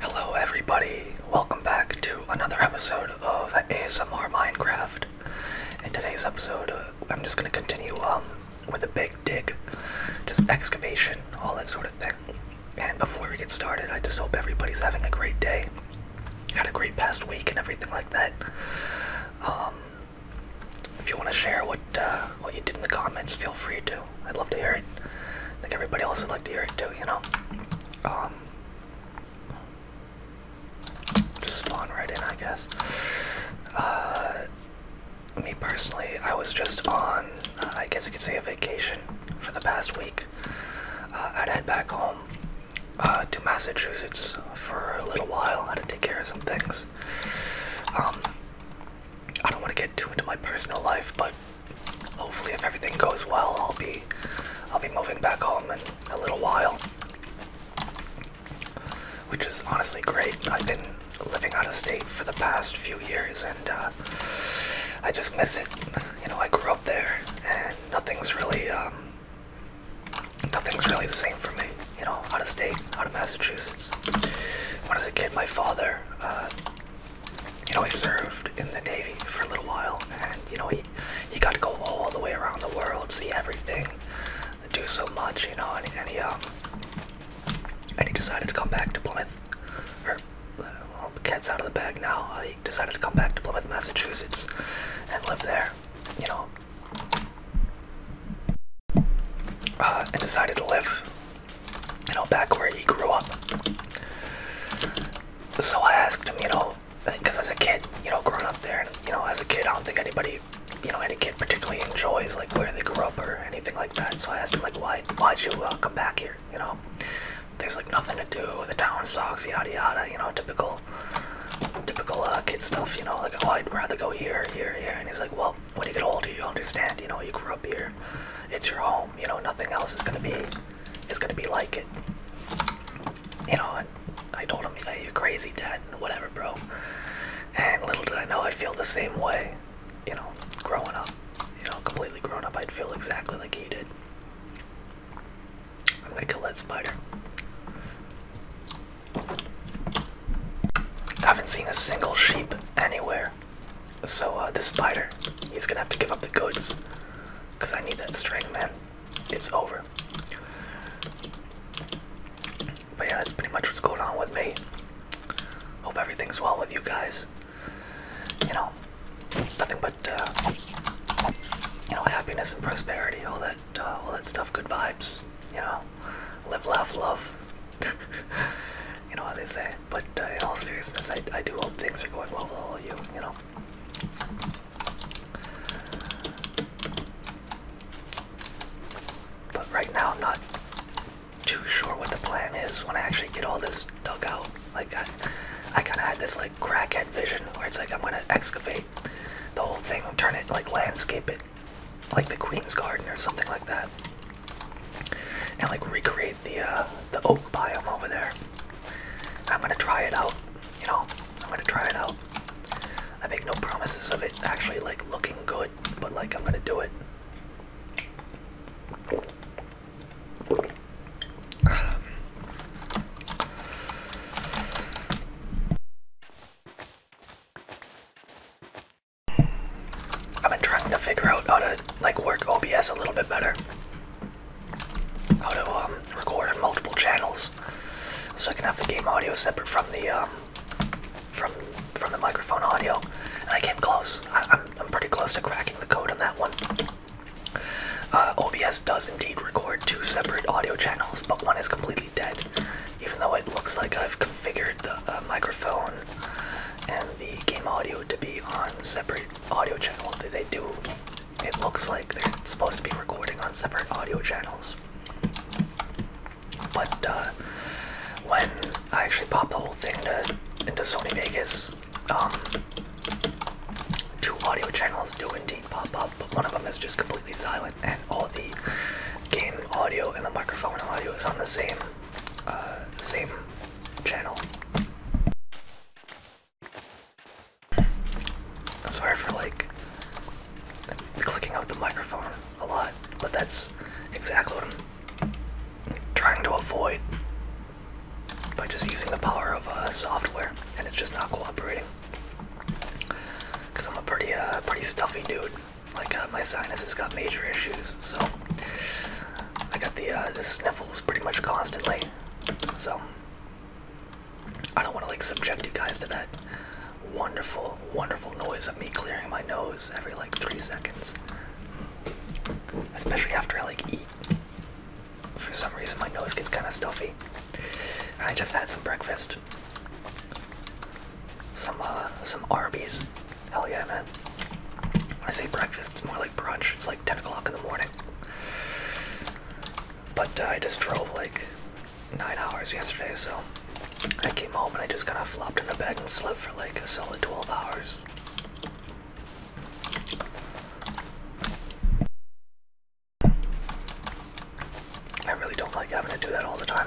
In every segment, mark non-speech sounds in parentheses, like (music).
Hello, everybody. Welcome back to another episode of ASMR Minecraft. In today's episode, uh, I'm just going to continue um, with a big dig, just excavation, all that sort of thing. And before we get started, I just hope everybody's having a great day, had a great past week, and everything like that. Um, if you want to share what uh, what you did in the comments, feel free to. I'd love to hear it. I think everybody else would like to hear it too, you know? Um, just spawn right in, I guess. Uh, me personally, I was just on, uh, I guess you could say, a vacation for the past week. Uh, I'd head back home uh, to Massachusetts for a little while. I had to take care of some things. Um, I don't want to get too into my personal life, but hopefully if everything goes well, I'll be I'll be moving back home in a little while. Which is honestly great. I've been living out of state for the past few years and uh, I just miss it. You know, I grew up there and nothing's really um, nothing's really the same for me. You know, out of state, out of Massachusetts. When I was a kid, my father uh, you know, he served in the Navy for a little while, and you know, he he got to go all the way around the world, see everything, do so much, you know, and, and he um and he decided to come back to Plymouth, uh, well, the cat's out of the bag now. Uh, he decided to come back to Plymouth, Massachusetts, and live there, you know, uh, and decided to live you know, back where he grew up. So I asked him, you know, because as a kid, you know, growing up there, and you know, as a kid, I don't think anybody, you know, any kid particularly enjoys like where they grew up or anything like that. So I asked him, like, why, why'd you uh, come back here? You know, there's like nothing to do. The town sucks, yada yada. You know, typical, typical uh, kid stuff. You know, like, oh, I'd rather go here, here, here. And he's like, well, when you get older, you understand. You know, you grew up here. It's your home. You know, nothing else is gonna be it's gonna be like it. You know, I, I told him, yeah, you're crazy, dad, and whatever, bro. And little did I know I'd feel the same way, you know, growing up. You know, completely grown up, I'd feel exactly like he did. I'm gonna kill that spider. I haven't seen a single sheep anywhere. So uh, the spider, he's gonna have to give up the goods, cause I need that string, man. It's over. But yeah, that's pretty much what's going on with me. Hope everything's well with you guys. You know, nothing but uh, you know happiness and prosperity, all that, uh, all that stuff. Good vibes. You know, live, laugh, love. (laughs) you know how they say. But uh, in all seriousness, I, I do hope things are going well with all of you, you know. But right now, not too sure what the plan is when I actually get all this dug out. Like, I, I kind of had this, like, crackhead vision where it's like I'm going to excavate the whole thing turn it, like, landscape it like the Queen's Garden or something like that. And, like, recreate the uh, the oak biome over there. I'm gonna try it out. You know, I'm gonna try it out. I make no promises of it actually like looking good, but like I'm gonna do it. I've been trying to figure out how to like work OBS a little bit better how to um, record on multiple channels, so I can have the game audio separate from the um, from from the microphone audio. And I came close. I, am I'm pretty close to cracking the code on that one. Uh, OBS does indeed record two separate audio channels, but one is completely dead. Even though it looks like I've configured the uh, microphone and the game audio to be on separate audio channel that they do. It looks like they're supposed to be recording on separate audio channels. But uh, when I actually popped the whole thing into Sony Vegas, um, two audio channels do indeed pop up, but one of them is just completely silent, and all the game audio and the microphone audio is on the same, uh, same channel. Sorry for like clicking out the microphone a lot, but that's exactly what I'm trying to avoid by just using the power of uh, software, and it's just not cooperating. Cause I'm a pretty, uh, pretty stuffy dude. Like uh, my sinuses got major issues, so I got the, uh, the sniffles pretty much constantly. So I don't want to like subject you guys to that wonderful, wonderful noise of me clearing my nose every like three seconds. Especially after I like eat. For some reason my nose gets kinda stuffy. I just had some breakfast. Some uh some Arby's. Hell yeah man. When I say breakfast, it's more like brunch. It's like 10 o'clock in the morning. But uh, I just drove like nine hours yesterday, so I came home and I just kind of flopped in into bed and slept for like a solid 12 hours. I really don't like having to do that all the time.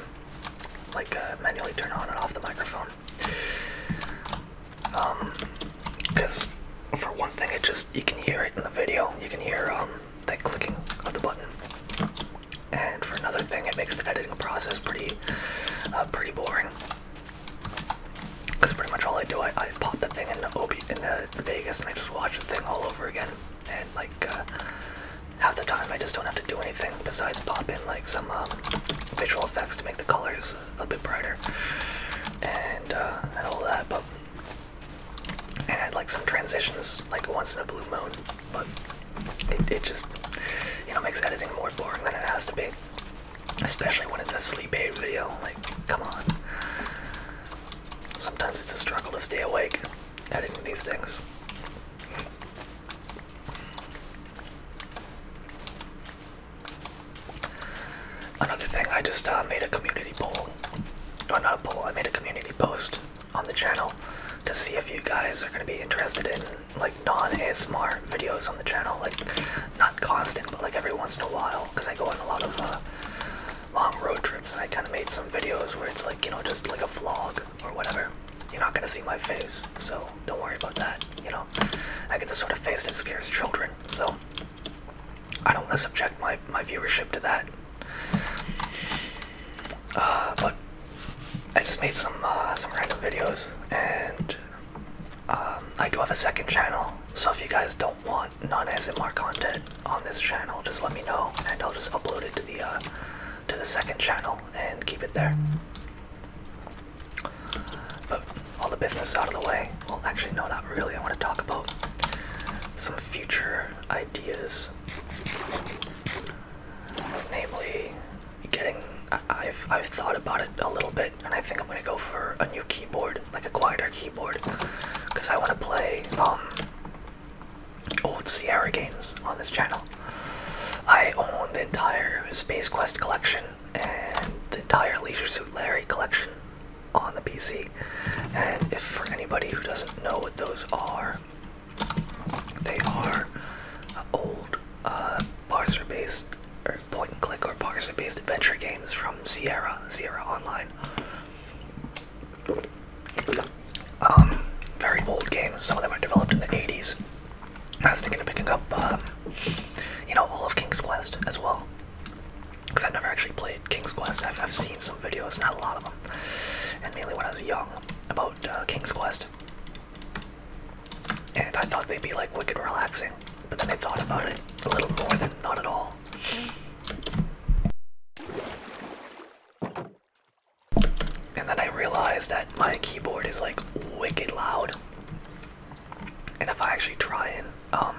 Like uh, manually turn on and off the microphone. Um, because for one thing, it just you can hear it in the video. You can hear um the clicking of the button. And for another thing, it makes the editing process pretty, uh, pretty boring. Because pretty much all I do, I, I pop the thing in Ob in uh, Vegas and I just watch the thing all over again. And like uh, half the time, I just don't have to do anything besides pop in like some um, visual effects to make the colors was a bit brighter and uh, all that, but I had like some transitions like once in a blue moon, but it, it just you know makes editing more boring than it has to be, especially when it's a sleep aid video. Like, come on. Sometimes it's a struggle to stay awake editing these things. Another thing, I just uh, made a community poll. No, not a poll, I made a community post on the channel to see if you guys are going to be interested in like non-ASMR videos on the channel. Like, not constant, but like every once in a while, because I go on a lot of uh, long road trips and I kind of made some videos where it's like, you know, just like a vlog or whatever. You're not going to see my face, so don't worry about that, you know. I get the sort of face that scares children, so I don't want to subject my my viewership to that. Uh, but I just made some uh, some random videos, and um, I do have a second channel. So if you guys don't want non-SMR content on this channel, just let me know, and I'll just upload it to the uh, to the second channel and keep it there. But all the business out of the way. Well, actually, no, not really. I want to talk about some future ideas, namely getting. I, have I've thought about it a little bit, and I think I'm gonna go for a new keyboard, like a quieter keyboard, because I want to play um old Sierra games on this channel. I own the entire Space Quest collection and the entire Leisure Suit Larry collection on the PC. And if for anybody who doesn't know what those are, they are old uh, parser-based or er, point-and-click or parser-based adventure games from Sierra, Sierra Online. Um, very old games. Some of them are developed in the 80s. I was thinking of picking up, um, you know, all of King's Quest as well because I've never actually played King's Quest. I've, seen some videos, not a lot of them, and mainly when I was young about uh, King's Quest. And I thought they'd be like wicked relaxing, but then I thought about it a little more than not at all. And then I realized that my keyboard is like wicked loud. And if I actually try and um,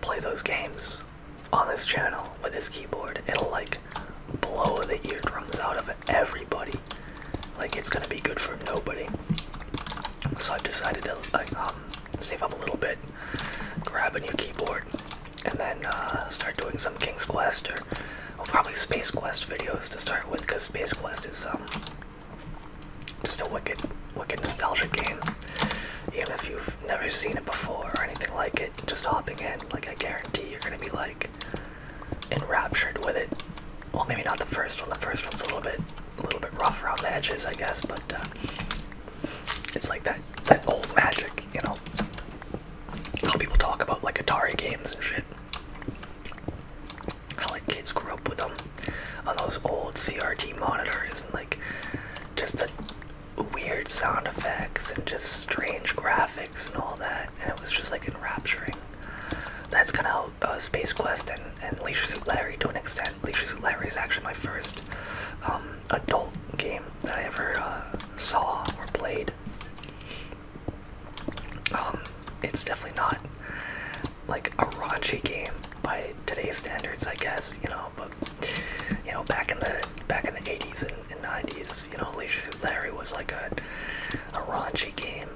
play those games on this channel with this keyboard, it'll like blow the eardrums out of everybody. Like it's gonna be good for nobody. So I've decided to um, save up a little bit, grab a new keyboard, and then uh, start doing some King's Quest or probably Space Quest videos to start with, because Space Quest is um, just a wicked, wicked nostalgic game. Even if you've never seen it before or anything like it, just hopping in, like I guarantee you're gonna be like enraptured with it. Well, maybe not the first one. The first one's a little bit, a little bit rough around the edges, I guess. But uh, it's like that, that old magic, you know. How people talk about like Atari games and shit. How like kids grew up with them on oh, those old CRT monitors and like just the weird sound effects and just strange graphics and all that, and it was just like enrapturing. That's kind of how uh, Space Quest and, Leisure Suit Larry, to an extent, Leisure Suit Larry is actually my first um, adult game that I ever uh, saw or played. Um, it's definitely not like a raunchy game, by today's standards, I guess, you know, but you know, back in the back in the 80s and, 90s, you know, Leisure Suit Larry was like a a raunchy game.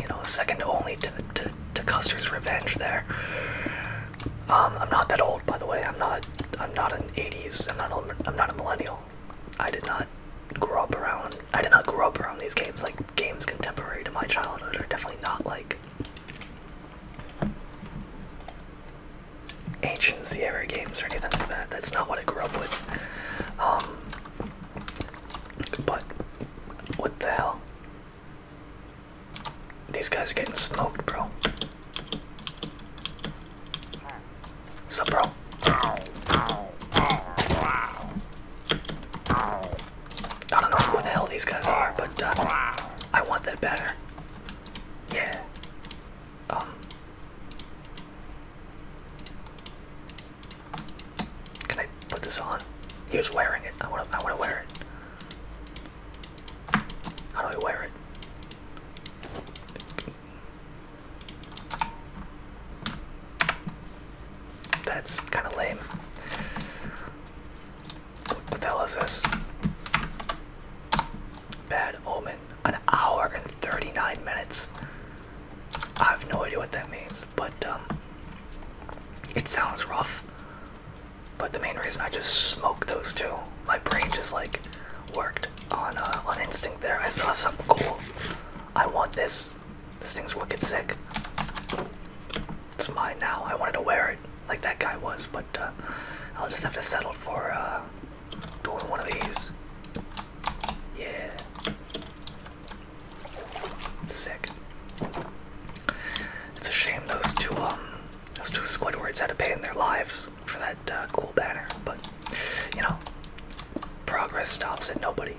You know, second only to, to, to Custer's Revenge there. Um, I'm not that old, by the way. I'm not. I'm not an '80s. I'm not. A, I'm not a millennial. I did not grow up around. I did not grow up around these games like games contemporary to my childhood are definitely not like ancient Sierra games or anything like that. That's not what I grew up with. Um, but what the hell? These guys are getting smoked, bro. What's up, bro? I don't know who the hell these guys are, but uh, I want that better. Yeah. Um. Can I put this on? He was wearing it. I want to. I want to wear it. How do I wear it? That's kind of lame. What the hell is this? Bad omen. An hour and 39 minutes. I have no idea what that means, but um, it sounds rough. But the main reason I just smoked those two, my brain just like worked on uh, on instinct. There, I saw something cool. I want this. This thing's looking sick. It's mine now. I wanted to wear it like that guy was, but uh, I'll just have to settle for uh, doing one of these. Yeah. sick. It's a shame those two um those two Squidwards had to pay in their lives for that uh, cool banner, but you know, progress stops at nobody.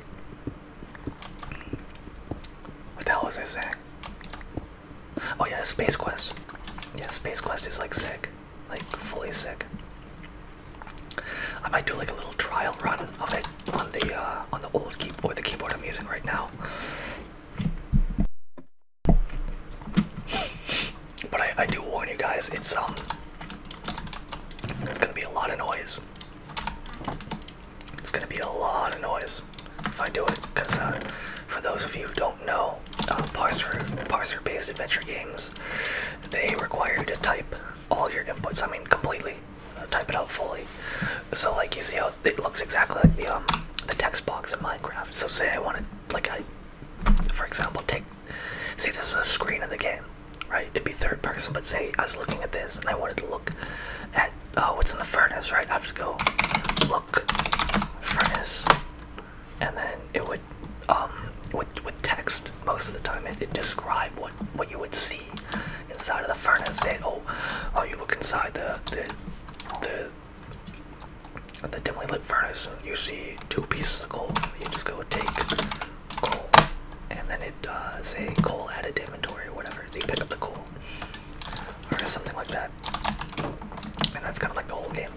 What the hell was I saying? Oh yeah, Space Quest. Yeah, Space Quest is like sick. Like fully sick. I might do like a little trial run of it on the uh, on the old keyboard, the keyboard I'm using right now. But I, I do warn you guys, it's um, it's gonna be a lot of noise. It's gonna be a lot of noise if I do it, because uh, for those of you who don't know, uh, parser parser-based adventure games, they require you to type all your inputs. I mean, completely uh, type it out fully. So like you see how it looks exactly like the um, the text box in Minecraft. So say I wanted, like I, for example, take see this is a screen in the game, right? It'd be third person, but say I was looking at this and I wanted to look at oh, what's in the furnace, right? I have to go look furnace, and then it would um with with text most of the time it, it describe what what you would see inside of the furnace. Say, oh, oh, you look inside the the the the dimly lit furnace you see two pieces of coal you just go take coal and then it does uh, say coal added inventory or whatever they pick up the coal or something like that. And that's kind of like the whole game.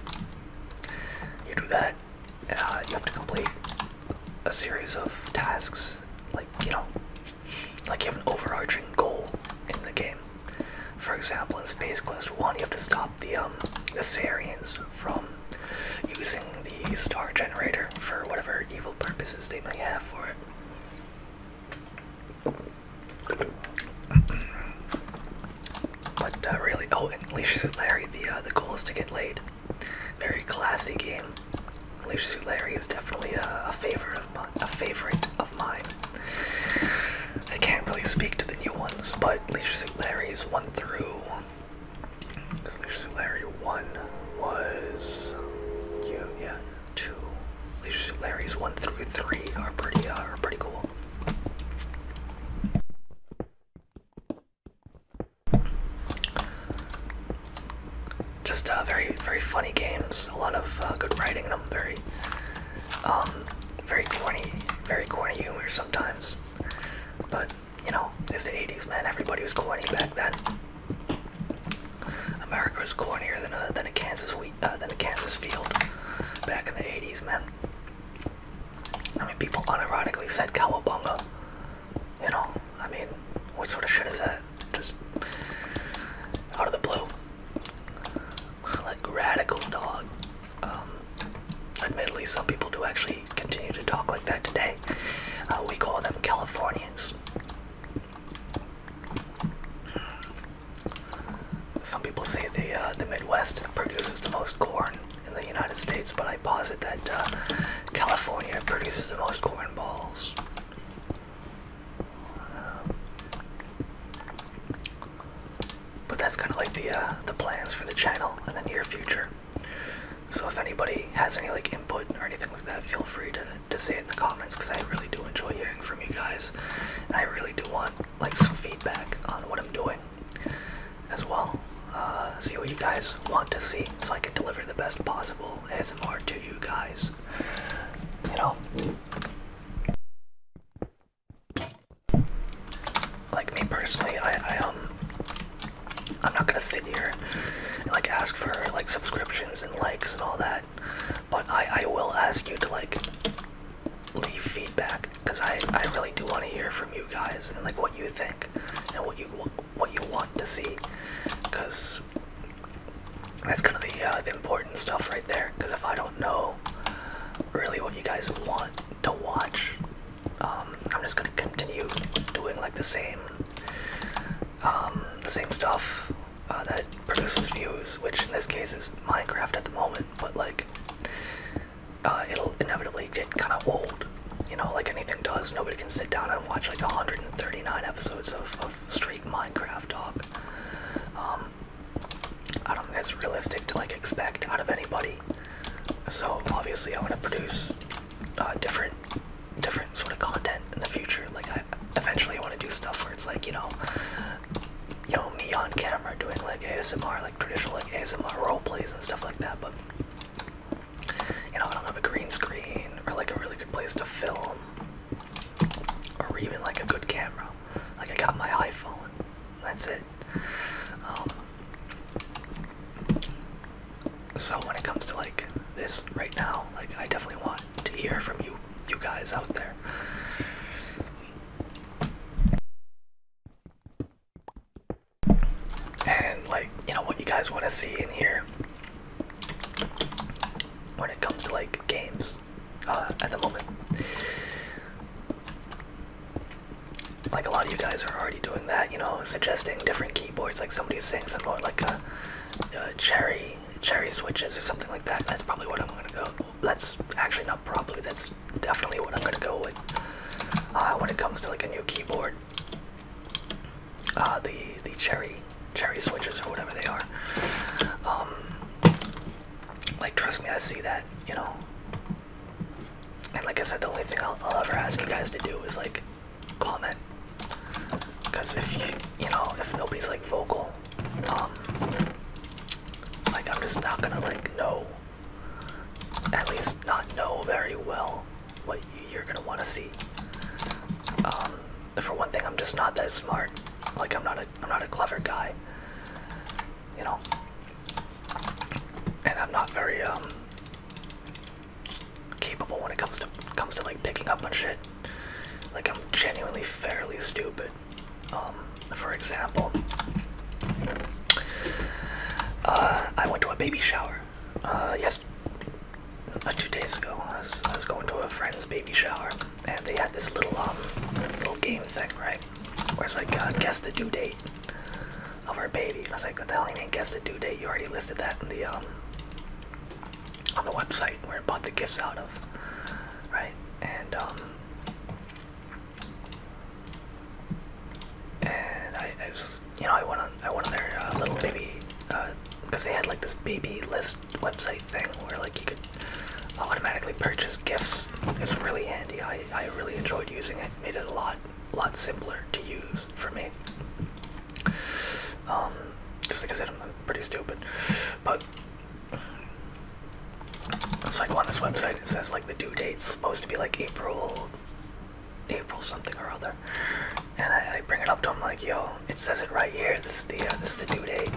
You do that, uh, you have to complete a series of tasks, like, you know, like you have an overarching goal in the game. For example, in Space Quest 1, you have to stop the, um, the Sarians from using the star generator for whatever evil purposes they might have for it. But uh, really, oh, and Leisure Suit Larry, the uh, the goal is to get laid. Very classy game. Leisure Suit Larry is definitely a, favorite of mine. I can't really speak to the new ones, but Leisure Suit Larry's one through. Because Leisure Larry one was um, you, yeah, two. Larry's one through three are pretty uh, are pretty cool. Just uh, very very funny games. A lot of uh, good writing in them. Very um very corny very corny humor sometimes. But you know, it's the 80s, man. Everybody was corny back then. America was cornier than a Kansas wheat uh, than a Kansas field back in the '80s, man. I mean, people unironically said cowabunga. You know, I mean, what sort of shit is that? Just out of the blue, (laughs) like radical dog. Um, admittedly, some people do actually continue to talk like that today. Uh, we call them Californians. Some people say the uh, the Midwest produces the most corn in the United States, but I posit that uh, California produces the most corn balls. But that's kind of like the uh, the plans for the channel in the near future. So if anybody has any like input or anything like that, feel free to to say it in the comments because I really do enjoy hearing from you guys. And I really do want like some feedback on what I'm doing as well. Uh, see what you guys want to see so I can deliver the best possible ASMR to you guys. You know? Like me personally, I, I um, I'm not gonna sit here and like ask for like subscriptions and likes and all that. But I, I will ask you to like leave feedback because I, I really do want to hear from you guys and like what you think and what you what you want to see because that's kind of the, uh, the important stuff right there because if I don't know really what you guys want to watch um, I'm just gonna continue doing like the same the um, same stuff uh, that produces views, which in this case is Minecraft at the moment, but like uh, it'll inevitably get kind of old, you know, like anything does. Nobody can sit down and watch like 139 episodes of, of straight Minecraft talk. Um, I don't think that's realistic to like expect out of anybody. So obviously, I want to produce uh, different, different sort of content in the future. Like eventually I want to do stuff where it's like you know, you know me on camera doing like ASMR, like traditional like ASMR role plays and stuff like that. But you know I don't have a green screen or like a really good place to film or even like a good camera. Like I got my iPhone. That's it. Um, so when it comes to like this right now, like I definitely want to hear from you, you guys out there. And like, you know, what you guys want to see in here when it comes to like games uh, at the moment. Like a lot of you guys are already doing that, you know, suggesting different keyboards. Like somebody's saying something like a cherry cherry switches or something like that. That's probably what I'm gonna go. That's actually not probably. That's definitely what I'm gonna go with uh, when it comes to like a new keyboard. Uh, the the cherry cherry switches or whatever they are. Um, like trust me, I see that you know. And like I said, the only thing I'll ever ask you guys to do is like comment. Because if you, you know, if nobody's like vocal, um, like I'm just not gonna like know. At least not know very well what you're gonna want to see. Um, for one thing, I'm just not that smart. Like I'm not a I'm not a clever guy. You know. And I'm not very um capable when it comes to comes to like picking up on shit. Like I'm genuinely fairly stupid. Um, for example, uh, I went to a baby shower. Uh, yes, uh, two days ago, I was, going to a friend's baby shower, and they had this little um, little game thing, right? Where it's like uh, guess the due date of her baby. And I was like, what the hell? You mean guess the due date? You already listed that in the um on the website where I bought the gifts out of right? And um, and I, I was, you know, I went on, I went on their uh, little baby, because uh, they had like this baby list website thing where like you could automatically purchase gifts. It's really handy. I, I really enjoyed using it. Made it a lot, lot simpler to use for me. Um, because like I said, I'm pretty stupid, but so I go on this website, it says like the due date's supposed to be like April, April something or other, and I, bring it up to him like, yo, it says it right here. This is the uh, this is the due date,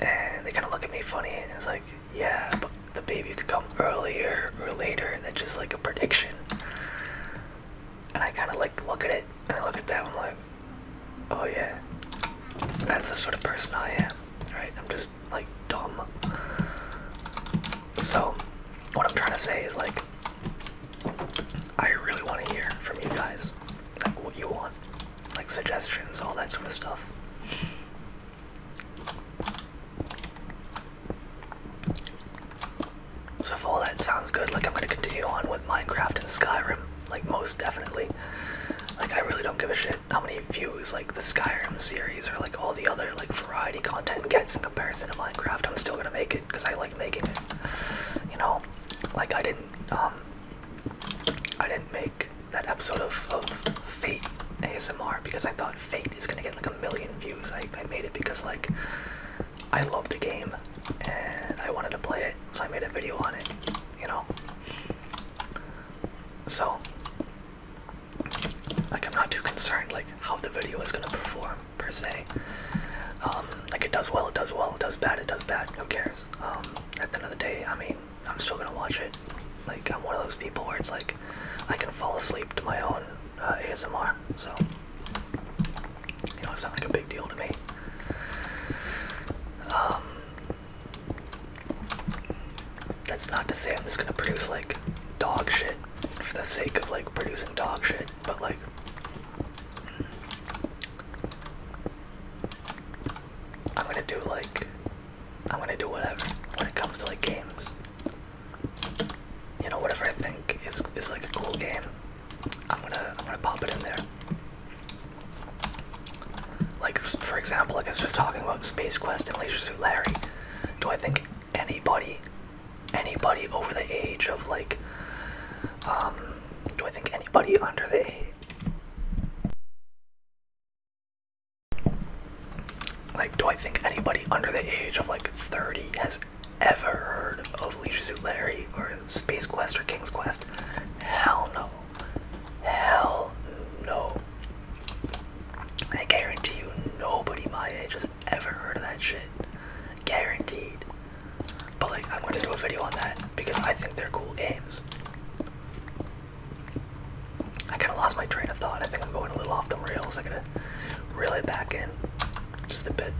and they kind of look at me funny, and it's like, yeah, but the baby could come earlier or later. That's just like a prediction. And I kind of like look at it, and I look at that, and like, Oh yeah, that's the sort of person I am, right? I'm just like dumb. So, what I'm trying to say is like, I really want to hear from you guys, like what you want, like suggestions, all that sort of stuff. So if all that sounds good, like I'm gonna continue on with Minecraft and Skyrim like most definitely. Like I really don't give a shit how many views like the Skyrim series or like all the other like variety content gets in comparison to Minecraft. I'm still gonna make it because I like making it. You know, like I didn't um I didn't make that episode of, of Fate ASMR because I thought Fate is gonna get like a million views. I, I made it because like I love the game and I wanted to play it, so I made a video on it you know. So, like, I'm not too concerned like how the video is gonna perform per se. Um, like, it does well, it does well, it does bad, it does bad. Who cares? Um, at the end of the day, I mean, I'm still gonna watch it. Like, I'm one of those people where it's like I can fall asleep to my own uh, ASMR. So, you know, it's not like a big deal to me. Um, that's not to say I'm just gonna produce like dog shit for the sake of like producing dog shit, but like. I'm gonna do like. I'm gonna do whatever when it comes to like games. You know, whatever I think is is like a cool game. I'm gonna I'm gonna pop it in there. Like, for example, like I was just talking about Space Quest and Leisure Suit Larry. Do I think anybody, anybody over the age of like, um, do I think anybody under the like, do I think anybody under the age of like 30 has ever heard of Leisure Suit Larry or Space Quest or King's Quest? Hell no. Hell no. I guarantee you nobody my age has ever heard of that shit. Guaranteed. But like I'm gonna do a video on that because I think they're cool games. I kinda lost my train of thought. I think I'm going a little off the rails. I gotta reel it back in. Just a bit.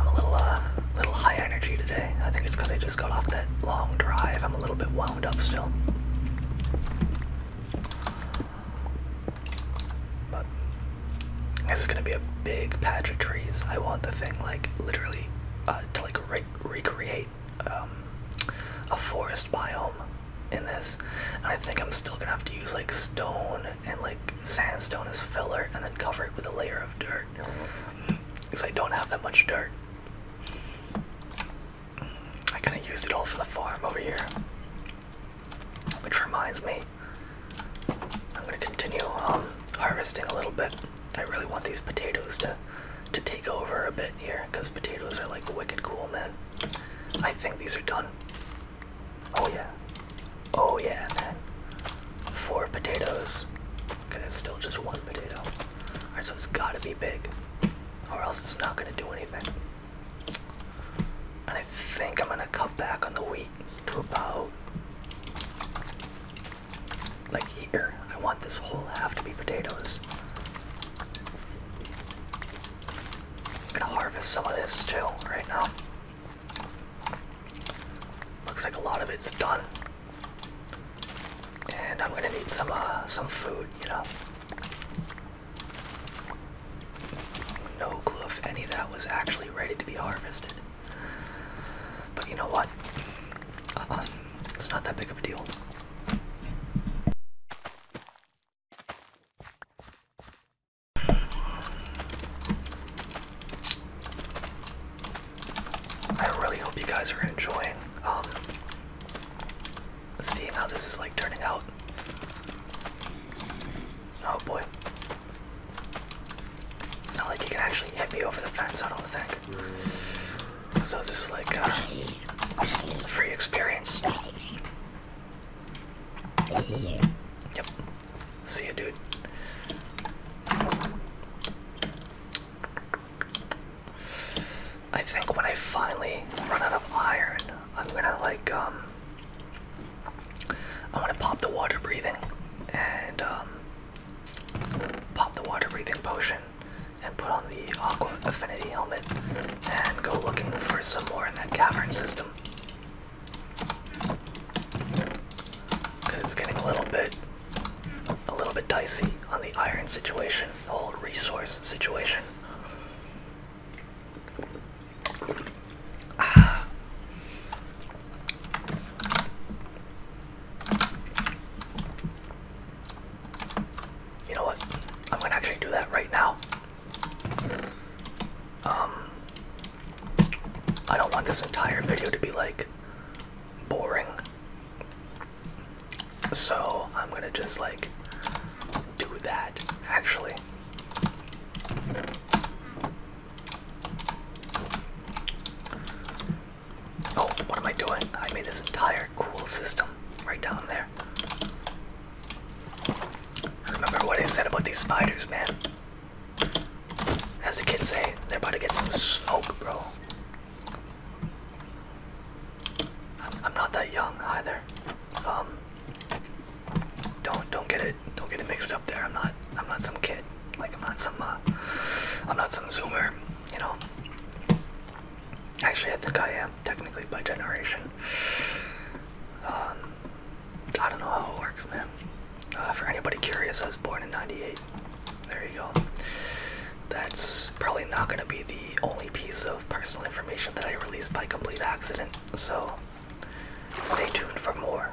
I'm a little uh little high energy today. I think it's because I just got off that long drive. I'm a little bit wound up still. But this is gonna be a big patch of trees. I want the thing like literally uh, to like recreate um, a forest biome in this. And I think I'm still gonna have to use like stone and like sandstone as filler, and then cover it with a layer of dirt because I don't have that much dirt. I kind of used it all for the farm over here. Which reminds me, I'm going to continue um, harvesting a little bit. I really want these potatoes to to take over a bit here because potatoes are like wicked cool, man. I think these are done. Oh yeah, oh yeah, man. Four potatoes. Cause it's still just one potato. Alright, so it's gotta be big. Or else it's not gonna do anything. And I think I'm gonna cut back on the wheat to about like here. I want this whole half to be potatoes. I'm gonna harvest some of this too right now. Looks like a lot of it's done. And I'm gonna need some uh, some food, you know. No clue if any of that was actually ready to be harvested. But you know what? Uh-uh. It's not that big of a deal. I really hope you guys are enjoying um, seeing how this is like turning out. Oh boy. It's not like you can actually hit me over the fence, I don't think. So this is like uh, a free experience. Yep. See you, dude. I think when I finally run out of iron, I'm gonna like um I wanna pop the water breathing and um, pop the water breathing potion and put on the aqua affinity helmet and go looking for some more in that cavern system. Cause it's getting a little bit a little bit dicey on the iron situation, the whole resource situation. You know what? I'm gonna actually do that right now. Um, I don't want this entire video to be like boring. So I'm gonna just like do that actually. Oh, what am I doing? I made this entire cool system right down there. Remember what I said about these spiders, man? As the kids say, they're about to get some smoke, bro. I'm not that young either. Um, don't don't get it don't get it mixed up there. I'm not I'm not some kid. Like I'm not some uh, I'm not some zoomer. You know. Actually, I think I am technically by generation. Um, I don't know how it works, man. Uh, for anybody curious, I was born in '98. There you go. That's probably not going to be the only piece of personal information that I release by complete accident, so stay tuned for more.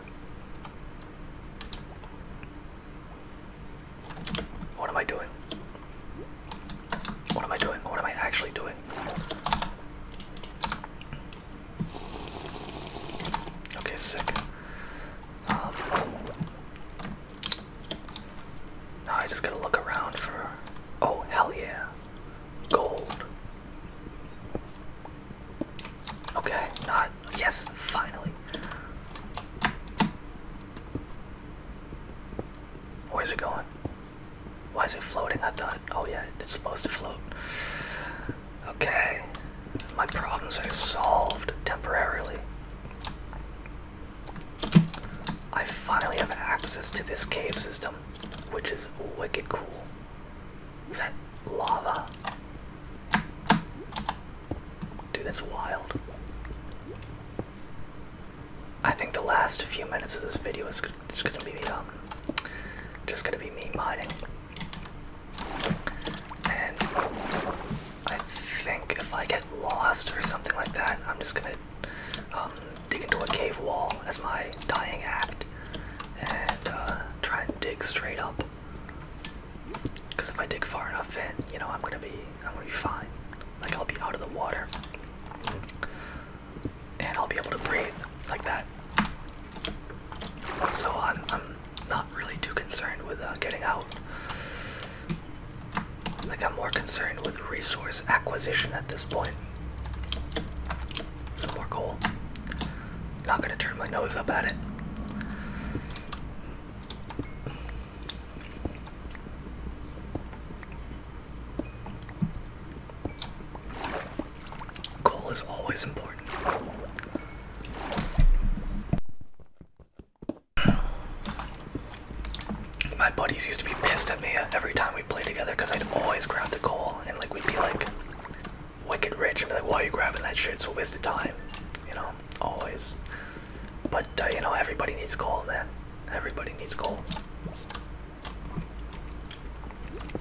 What am I doing? What am I doing? What am I actually doing? Okay, second. Now I just gotta look around for. Oh, hell yeah! Gold. Okay, not. Yes, finally. Where's it going? Why is it floating? I thought. Oh, yeah, it's supposed to float. Okay, my problems are solved temporarily. I finally have access to this cave system, which is wicked cool. Is that lava? Dude, that's wild. I think the last few minutes of this video is um, just gonna be me mining, I think if I get lost or something like that, I'm just gonna um, dig into a cave wall as my dying act and uh, try and dig straight up. Because if I dig far enough in, you know, I'm gonna be, I'm gonna be fine. Like I'll be out of the water, and I'll be able to breathe like that. So I'm, not really too concerned with uh, getting out. Like, I'm more concerned with resource acquisition at this point. Some more coal. Not gonna turn my nose up at it. Coal is always important. My buddies used to be pissed at me every time we played together because I'd always grab the coal and like we'd be like wicked rich and be like, why are you grabbing that shit? It's a waste of time. You know, always. But uh, you know, everybody needs coal, man. Everybody needs coal.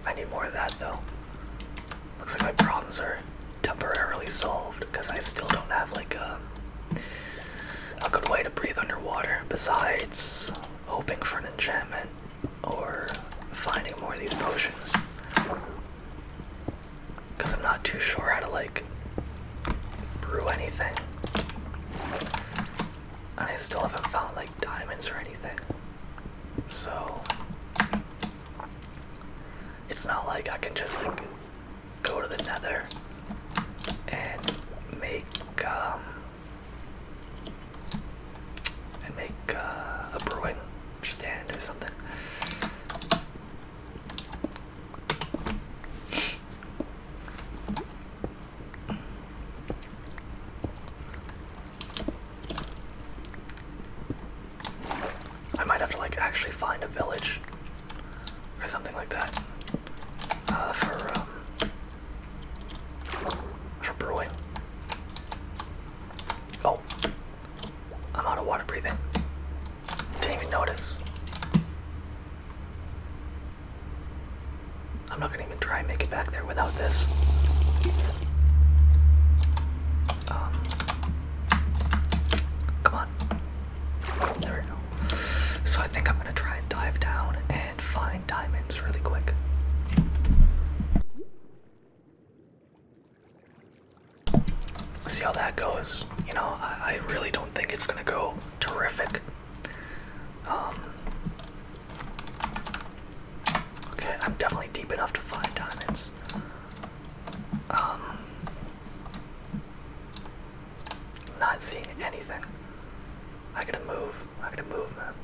I need more of that though. Looks like my problems are temporarily solved because I still don't have like a uh, a good way to breathe underwater besides hoping for an enchantment or finding more of these potions. Because I'm not too sure how to like brew anything. And I still haven't found like diamonds or anything. So it's not like I can just like go to the nether and make um, and make uh, a brewing stand or something. I might have to like actually find a village or something like that uh, for um, for brewing. Oh, I'm out of water breathing. Didn't even notice. I'm not gonna even try and make it back there without this. Um, come on. There we go. So I think I'm gonna try and dive down and find diamonds really quick. See how that goes. You know, I, really don't think it's gonna go terrific. Um, okay, I'm definitely deep enough to find diamonds. Um, not seeing anything. I gotta move. I gotta move, man.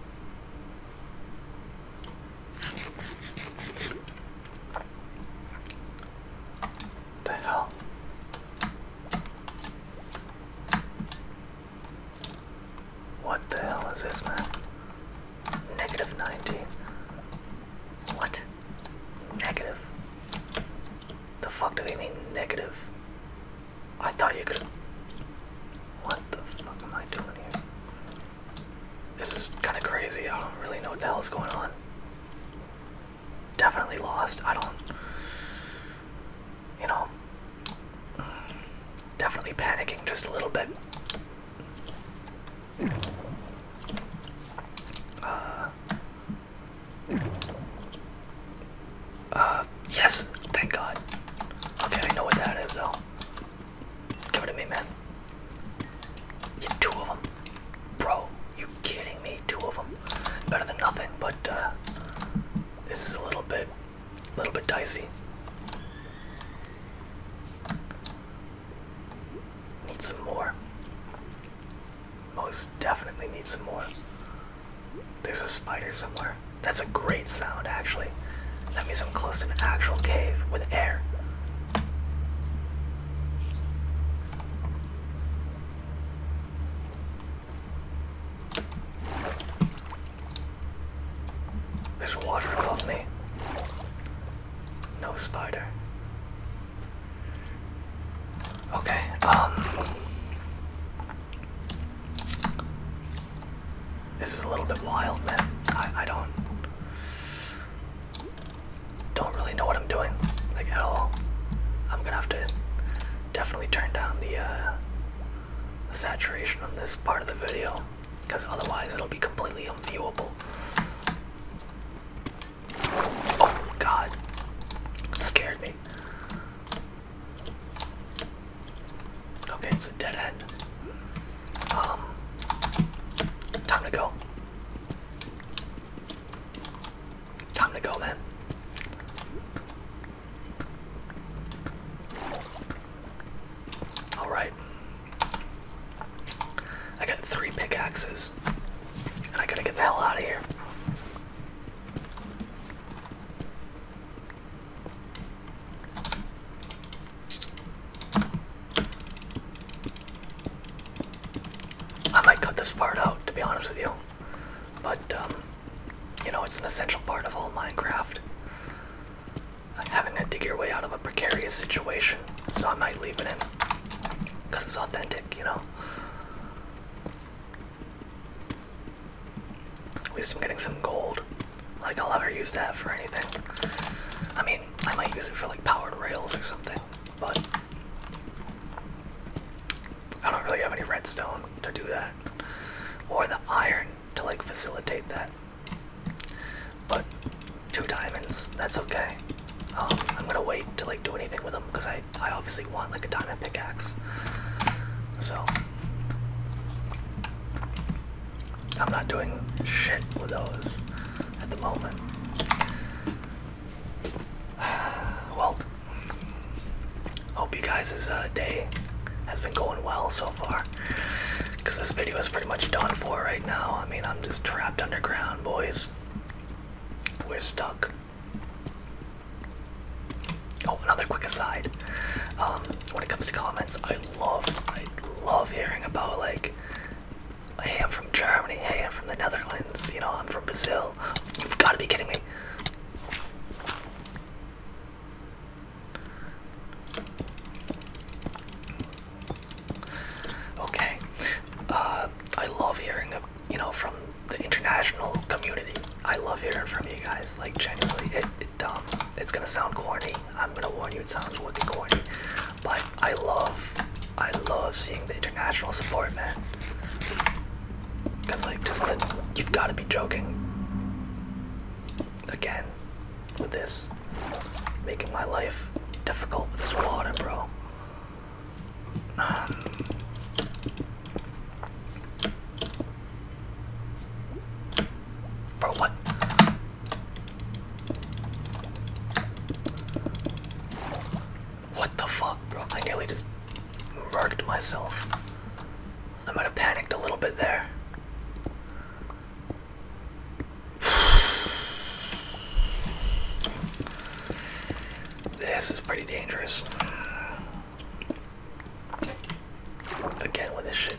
The hell? What the hell is this, man? Negative 90. What? Negative the fuck do they mean negative? I thought you could. What the fuck am I doing here? This is kind of crazy. I don't really know what the hell is going on. Definitely lost. I don't. You know. Definitely panicking just a little bit. Uh, uh, yes, thank God. Okay, I know what that is though. Give it to me, man. Yeah, two of them. Bro, you kidding me? Two of them. Better than nothing, but uh, this is a little bit, a little bit dicey. Need some more. Most definitely need some more. There's a spider somewhere. That's a great sound, actually. That means I'm close to an actual cave with air. There's water above me. No spider. Okay, um. This is a little bit wild, man. I, I don't don't really know what I'm doing, like at all. I'm gonna have to definitely turn down the uh, saturation on this part of the video, because otherwise it'll be completely unviewable. Oh God, scared me. Okay, it's a dead end. Um, time to go. Time to go, man. Alright. I got three pickaxes. And I gotta get the hell out of here. I might cut this part out to be honest with you, but um, you know, it's an essential part of all Minecraft. Having to dig your way out of a precarious situation, so I might leave it in because it's authentic, you know. At least I'm getting some gold. Like, I'll never use that for anything. I mean, I might use it for like powered rails or something, but I don't really have any redstone to do that. Or the iron to like facilitate that. But two diamonds, that's okay. Um, I'm gonna wait to like do anything with them because I I, obviously want like a diamond pickaxe. So I'm not doing shit with those at the moment. (sighs) Well, hope you guys' uh, day has been going well so far. Because this video is pretty much done for right now. I mean, I'm just trapped underground, boys. We're stuck. Oh, another quick aside. Um, when it comes to comments, I love, I love hearing about like, hey, I'm from Germany. Hey, I'm from the Netherlands. You know, I'm from Brazil. You've got to be kidding me. Okay, uh, I love hearing, you know, from the international community. I love hearing from you guys. Like genuinely, it, it um, it's gonna sound corny. I'm gonna warn you, it sounds wicked corny. But I love, I love seeing the international support, man. Cause like, just that, you've got to be joking. Again, with this, making my life difficult with this water, bro. Um, Bro, what? What the fuck, bro? I nearly just murdered myself. I might have panicked a little bit there. (sighs) This is pretty dangerous. Again with this shit.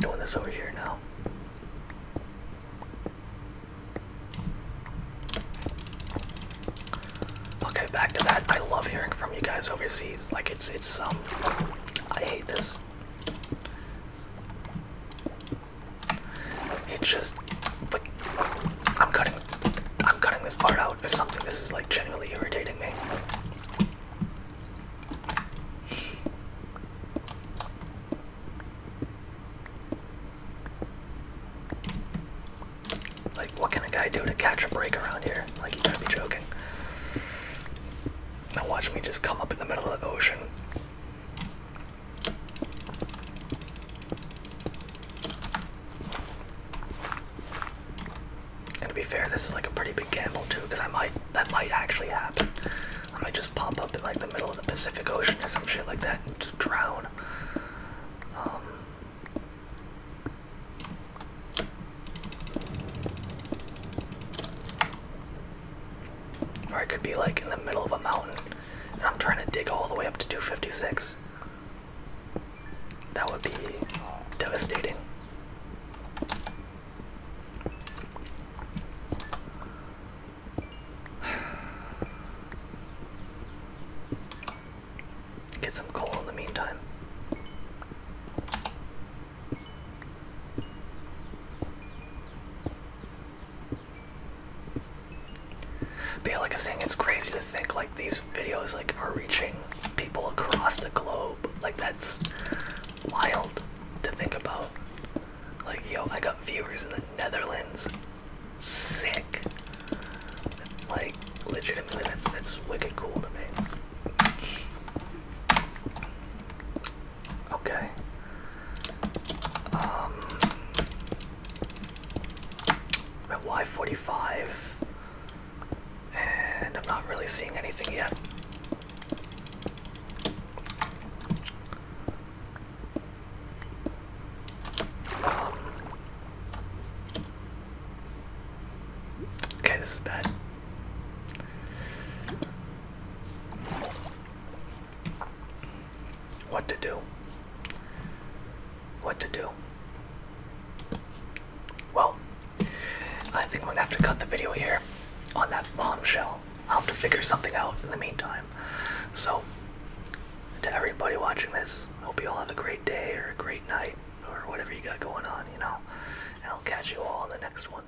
Doing this over here now. Okay, back to that. I love hearing from you guys overseas. Like it's it's um I hate this. It just, but I'm cutting, I'm cutting this part out if something this is like genuinely irritating me. Like, what can a guy do to catch a break around here? Like, you gotta be joking. Now watch me just come up in the middle of the ocean. And to be fair, this is like a pretty big gamble too, because I might that might actually happen. I might just pop up in like the middle of the Pacific Ocean or some shit like that and just drown. Um, or I could be like in the middle of a mountain I'm trying to dig all the way up to 256. That would be devastating. (sighs) Get some coal in the meantime. But like I was saying, it's crazy to think like these videos like are reaching people across the globe. Like that's wild to think about. Like yo, I got viewers in the Netherlands. Sick. Like legitimately, that's that's wicked cool to me. Okay. Um, at Y45, and I'm not really seeing anything yet. Um, okay, this is bad. What to do? What to do? Well, I think I'm gonna have to cut the video here on that bombshell. I'll have to figure something out in the meantime. So, to everybody watching this, I hope you all have a great day or a great night or whatever you got going on, you know. And I'll catch you all on the next one.